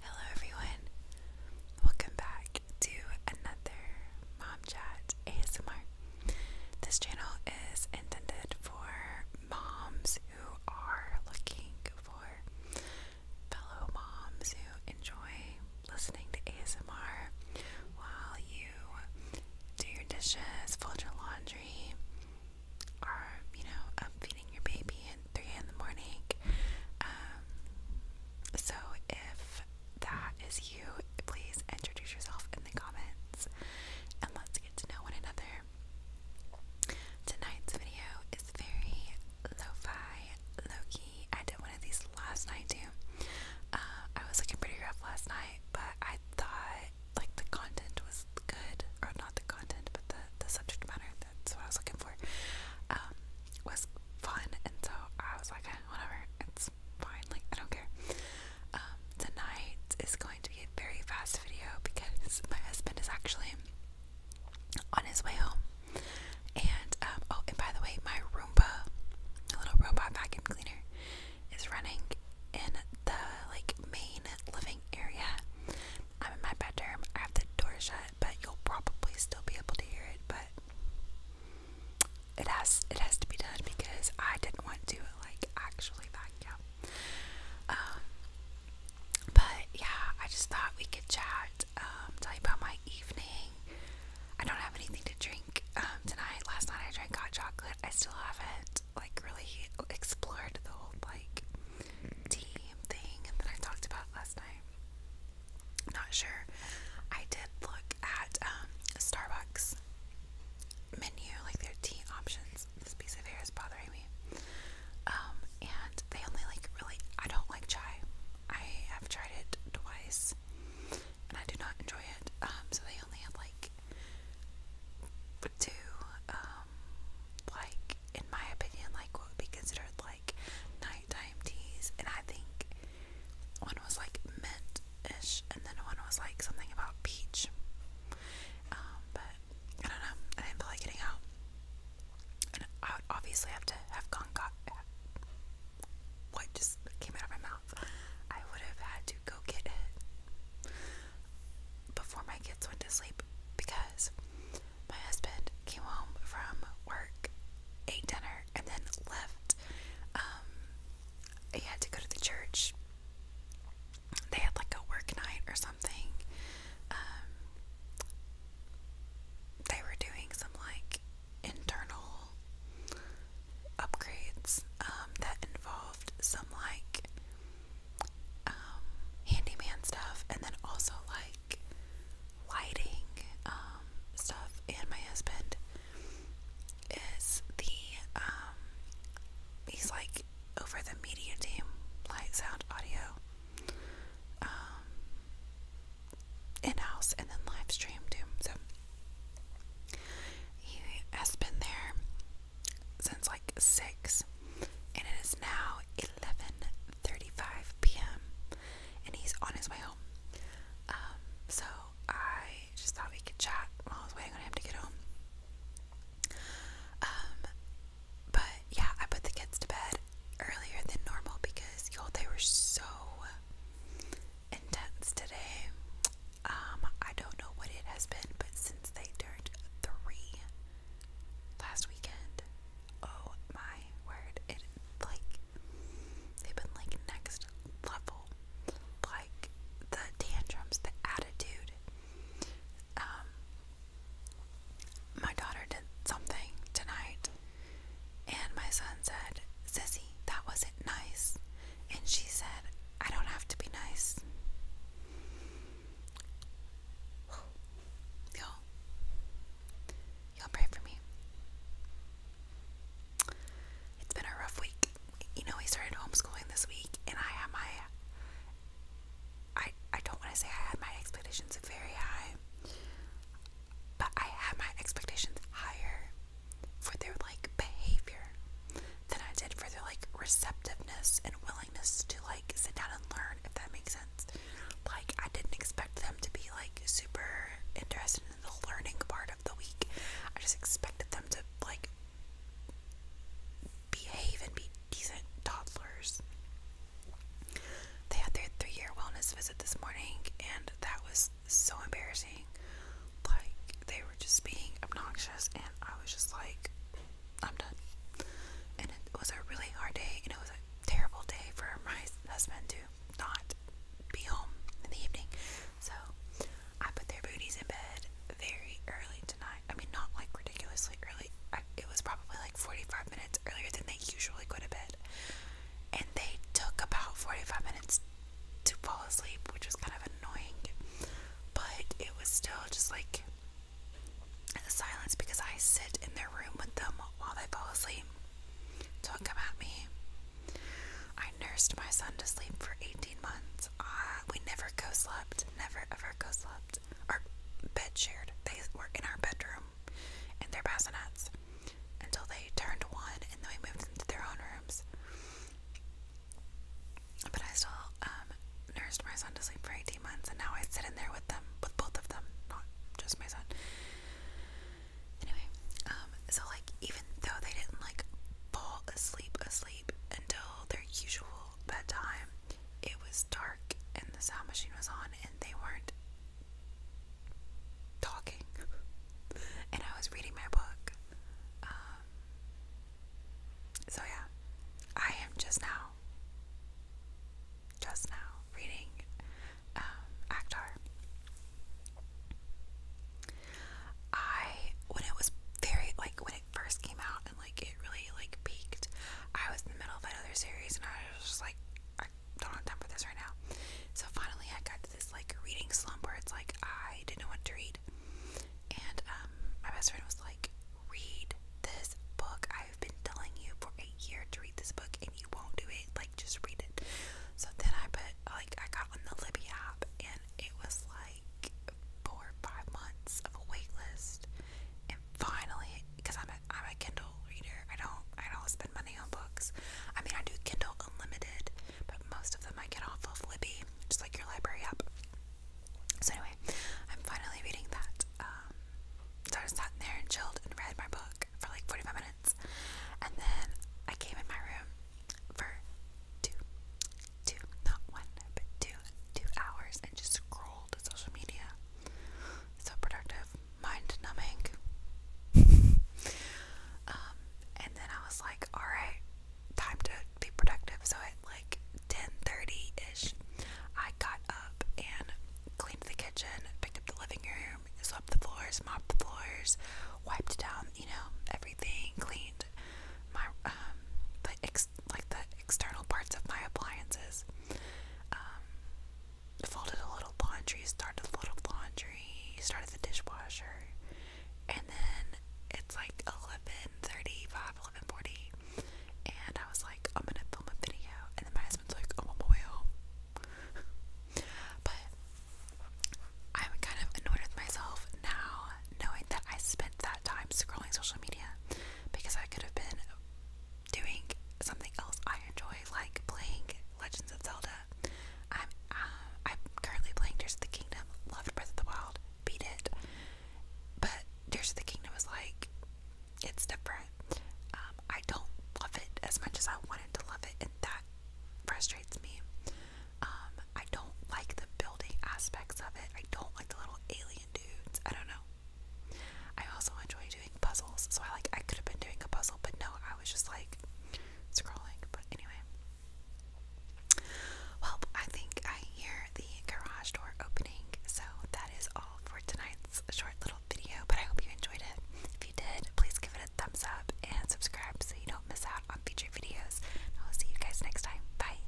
Hello, everyone. Welcome back to another Mom Chat ASMR. This channel is intended for moms who are looking for fellow moms who enjoy listening to ASMR while you do your dishes, fold your laundry, are, you know, um, feeding your baby at 3 in the morning. Um, so if that is you, please introduce yourself in the comments and let's get to know one another. Tonight's video is very lo-fi, low-key. I did one of these last night too. Uh, I was looking pretty rough last night, but I thought like the content was good, or not the content, but the, the subject matter, that's what I was looking for, um, was fun, and so I was like, eh, whatever, it's fine, like, I don't care. Um, tonight is going to be a very fast video because my husband is actually on his way home, and, um, oh, and by the way, my Roomba, the little robot vacuum cleaner, is running in the, like, main living area I'm in my bedroom. I have the door shut, but you'll probably still be able to hear it. But it has it has to be done because I didn't want to like actually vacuum. Um, but yeah, I just thought we could chat. Um, tell you about my evening. I don't have anything to drink um, tonight. Last night I drank hot chocolate. I still haven't like really explored the whole like team thing that I talked about last night. Not sure. I did look at um, Starbucks menu, like their tea options. This piece of hair is bothering me. Um, and they only like really. I don't like chai. I have tried it twice, and I do not enjoy it. Um, so they only had like two um, like in my opinion, like what would be considered like nighttime teas, and I think one was like mint ish, and then one was like something about peach. Um, but I don't know. I didn't feel like getting out, and I would obviously have to have gone got. What just came out of my mouth? I would have had to go get it before my kids went to sleep because my husband came home from work, ate dinner, and then left. Um, he had to go to the church. They had like a work night or something. Um, they were doing some like internal upgrades um, that involved some like um, handyman stuff and then also like lighting um, stuff. And my husband is the um, he's like over the media team, light, sound, audio. Um, in house and then live stream too. So he has been there since like 6 and it is now 11:35 p.m. and he's on his way home. Um, so I just thought we could chat while I was waiting on him to get home. Um, but yeah, I put the kids to bed earlier than normal because y'all they were so intense today. Um, I don't know what it has been, but since they turned three last weekend, oh my word, it like they've been like next level. Like the tantrums, the attitude. Um, my daughter did something tonight, and my son said, Sissy that wasn't nice. And she said, I don't have to be nice. Y'all, y'all pray for me. It's been a rough week. You know, we started homeschooling this week, and I had my, I, I don't want to say I had my expectations very high, but I had my expectations higher for their like behavior than I did for their like receptiveness and willingness to like sit down and learn, if that makes sense. Like, I didn't expect them to be like super interested in the learning part of the week, I just expected them to like behave and be decent toddlers. They had their three year wellness visit this morning, and that was so embarrassing. Like, they were just being obnoxious, and I was just like, I'm done. And it was a really hard day, and it was a terrible day for my husband to not be home in the evening. So, I put their booties in bed very early tonight. I mean, not like ridiculously early. it was probably like 45 minutes earlier than they usually go to bed and they took about 45 minutes to fall asleep, which was kind of annoying, but it was still just like the silence because I sit in their room with them while they fall asleep. Don't me. I nursed my son to sleep for 18 months. we never co slept, never ever co slept. Our bed shared, they were in our bedroom in their bassinets until they turned one and then we moved into their own rooms. But I still um, nursed my son to sleep for 18 months and now I sit in there with them, with both of them, not just my son. Anyway, um, so like even though they didn't like fall asleep, asleep until their usual bedtime, it was dark and the sound machine was on and they weren't talking and I was reading my book. Um, so, yeah, I am just now, just now reading um, I, when it was very, like, when it first came out and, like, it really, like, peaked, I was in the middle of another series and I was just like, don't have time for this right now. So finally, I got to this like reading slump where it's like I didn't know what to read, and um, my best friend was like, "Read this book. I've been telling you for a year to read this book, and you won't do it. Like, just read it." So then I put like I got on the Libby app, and it was like four five months of a wait list, finally, because I'm a I'm a Kindle reader. I don't I don't spend money on books. I mean I do Kindle Unlimited, but most of them I get off of Libby, just like your library app. So anyway, I'm finally reading that. Um, so I just sat there and chilled and read my book for like 45 minutes, and then I came in my room for two, two, not one, but two, two hours, and just scrolled social media. So productive mind numbing. Um, and then I was like, all right, time to be productive. So at like 10:30 ish, I got up and cleaned the kitchen, picked up the living room, swept the floors, mopped the floors, wiped down, you know, everything, cleaned my um, the ex like the external parts of my appliances. Um, folded a little laundry, started a little laundry, started the dishwasher, and then it's like 11.35, 11.40, and I was like, I'm gonna film a video, and then my husband's like, I'm on my way home. but I'm kind of annoyed with myself now, knowing that I spent that time scrolling social media, because I could have been doing something else I enjoy, like playing Legends of Zelda. I'm uh, I'm currently playing Tears of the Kingdom. Loved Breath of the Wild, beat it. But Tears of the Kingdom is like it's different. Um, I don't love it as much as I wanted to love it, and that frustrates me. Um, I don't like the building aspects of it. I don't like the little alien dudes. I don't know. I also enjoy doing puzzles, so I like I could have been doing a puzzle, but no, I was just like scrolling. But anyway, well, I think I hear the garage door opening, so that is all for tonight's short little video. But I hope you enjoyed it. If you did, please give it a thumbs up and subscribe so you don't miss out on future videos. I will see you guys next time. Bye.